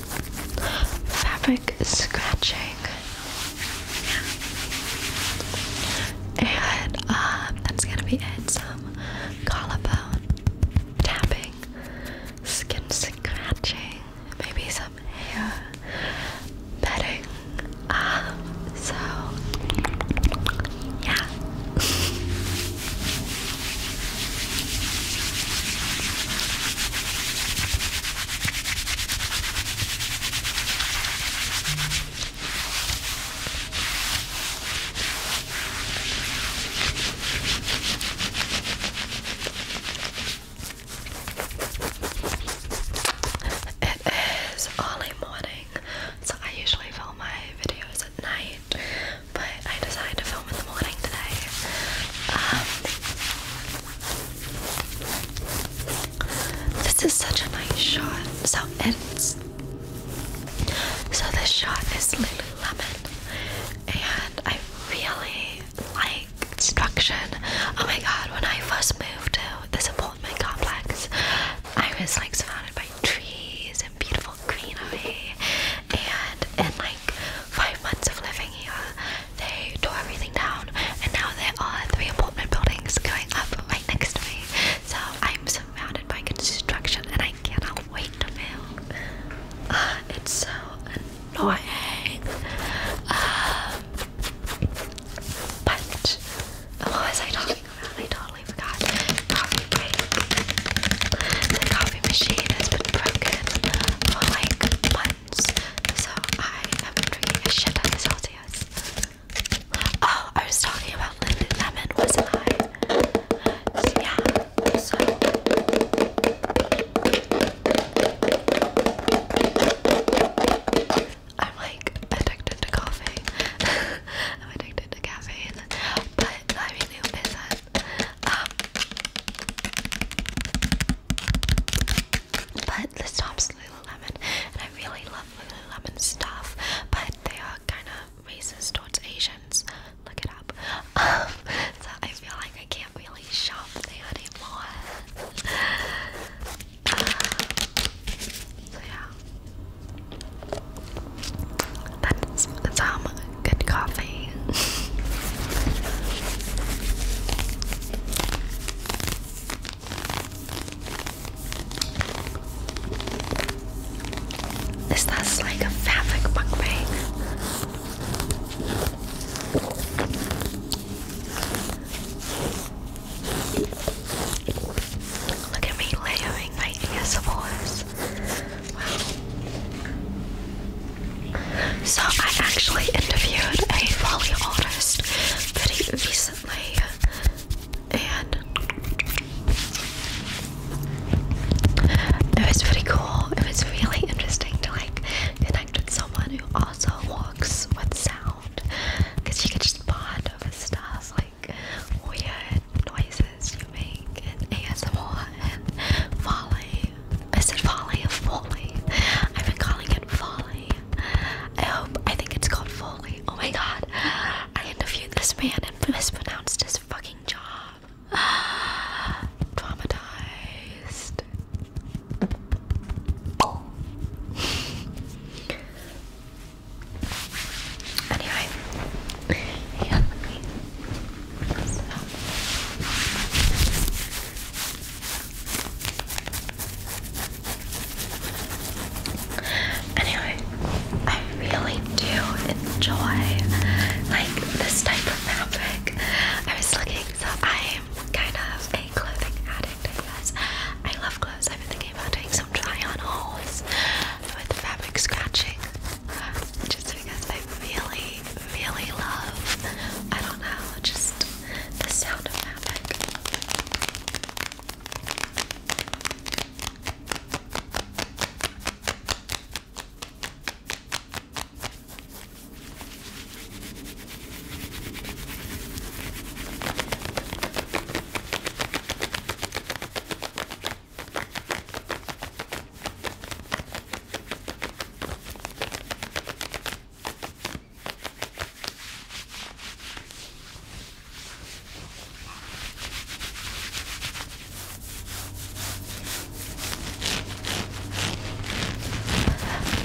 fabric scratching. And um, that's gonna be it. Some collarbone tapping, skin scratching, maybe some hair bedding. Um, so, yeah. It is early morning, so I usually film my videos at night, but I decided to film in the morning today. Um, this is such a nice shot. So it's so this shot is Lemon, and I really like construction. Oh my god! When I first moved to this apartment complex, I was like surrounded by trees and beautiful greenery, and in like five months of living here, they tore everything down, and now there are three apartment buildings going up right next to me. So I'm surrounded by construction, and I cannot wait to move. Ah, it's so annoying. Um, but what was I talking about? I totally forgot. The coffee machine has been broken for like months. So I have drinking a shit of Celsius. Oh, I was talking about Lemon, wasn't I? Yeah, so. I'm like addicted to coffee. I'm addicted to caffeine. But I mean, who isn't? Um, but this top's Lululemon, and I really love Lululemon stuff, but they are kind of racist towards Asians. Look it up. Um, so I feel like I can't really shop there anymore. Uh, so yeah, that's, that's um good coffee. Is this like a fabric mukbang? Look at me layering my ASMRs. Wow. So I actually interviewed a folly artist pretty recently, and it was pretty cool. It was really interesting to like connect with someone who also works with sound, because you can just bond over stuff like weird noises you make and ASMR and I said folly or folly. I've been calling it folly. I hope, I think it's called Foley. Oh my god. I interviewed this man and mispronounced his fucking job. Traumatized. anyway. Yeah, Anyway, I really do enjoy like this type of fabric. I was looking, so I'm kind of a clothing addict, I I love clothes. I've been thinking about doing some try-on hauls with the fabric scratching, just because I really, really love. I don't know, just the sound of fabric.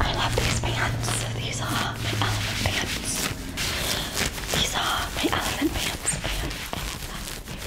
I love these pants. These are my elephant pants. These are my elephant pants. And I love them.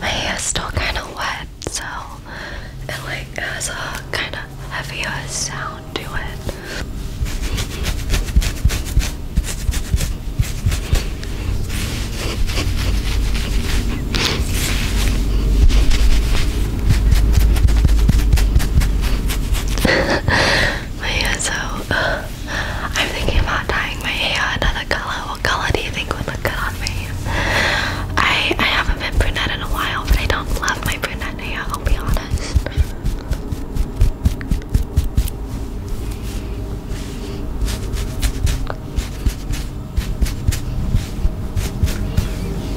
My hair's still kind of wet, so it like has a kind of heavier sound to it my hair so. I'm thinking about dyeing my hair another color. What color do you think would look good on me? I I haven't been brunette in a while, but I don't love my brunette hair. I'll be honest.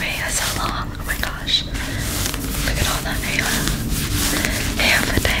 Raya's so long. Oh my gosh. Look at all that hair. Hair for days.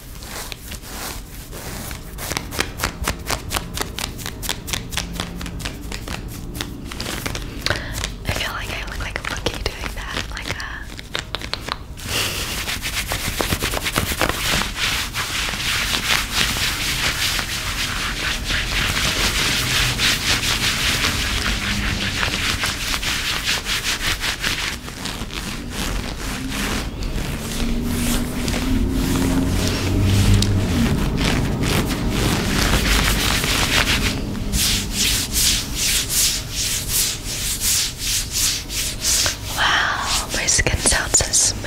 I feel like I look like a monkey doing that, like a. Uh, Wow, my skin sounds so smooth.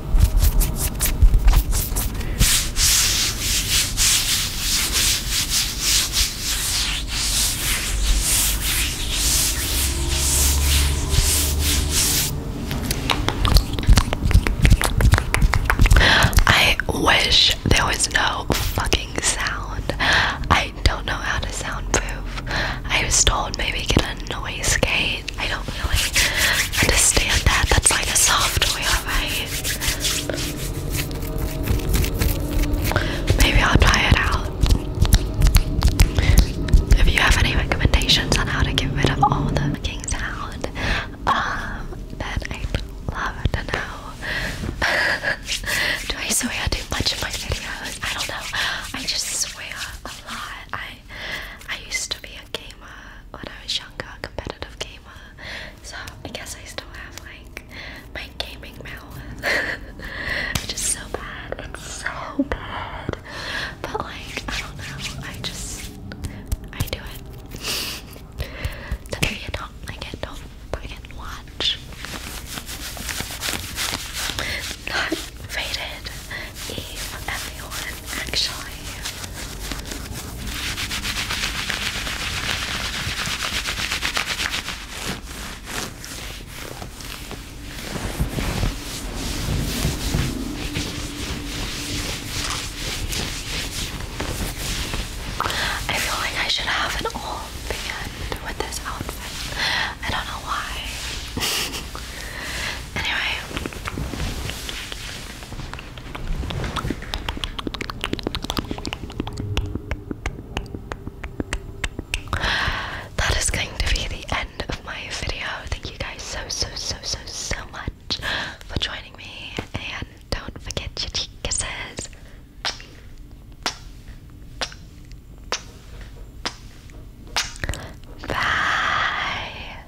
I wish there was no fucking sound. I don't know how to soundproof. I was told maybe get a noise gate I don't really understand that. That's like a software, right? Maybe I'll try it out. If you have any recommendations on how to get rid of all the fucking sound, um, then I'd love to know. do I swear too much in my videos? I don't know. I just swear a lot. I I used to be a gamer when I was younger, competitive gamer. So I guess I still have like my gaming malware. Which is so bad. It's so bad. But like, I don't know. I just I do it. so you don't like it, don't freaking watch. Not rated eat everyone, actually. I feel like I should have an all band with this outfit. I don't know why. anyway, that is going to be the end of my video. Thank you guys so, so, so, so, so much for joining me. And don't forget your cheek kisses. Bye.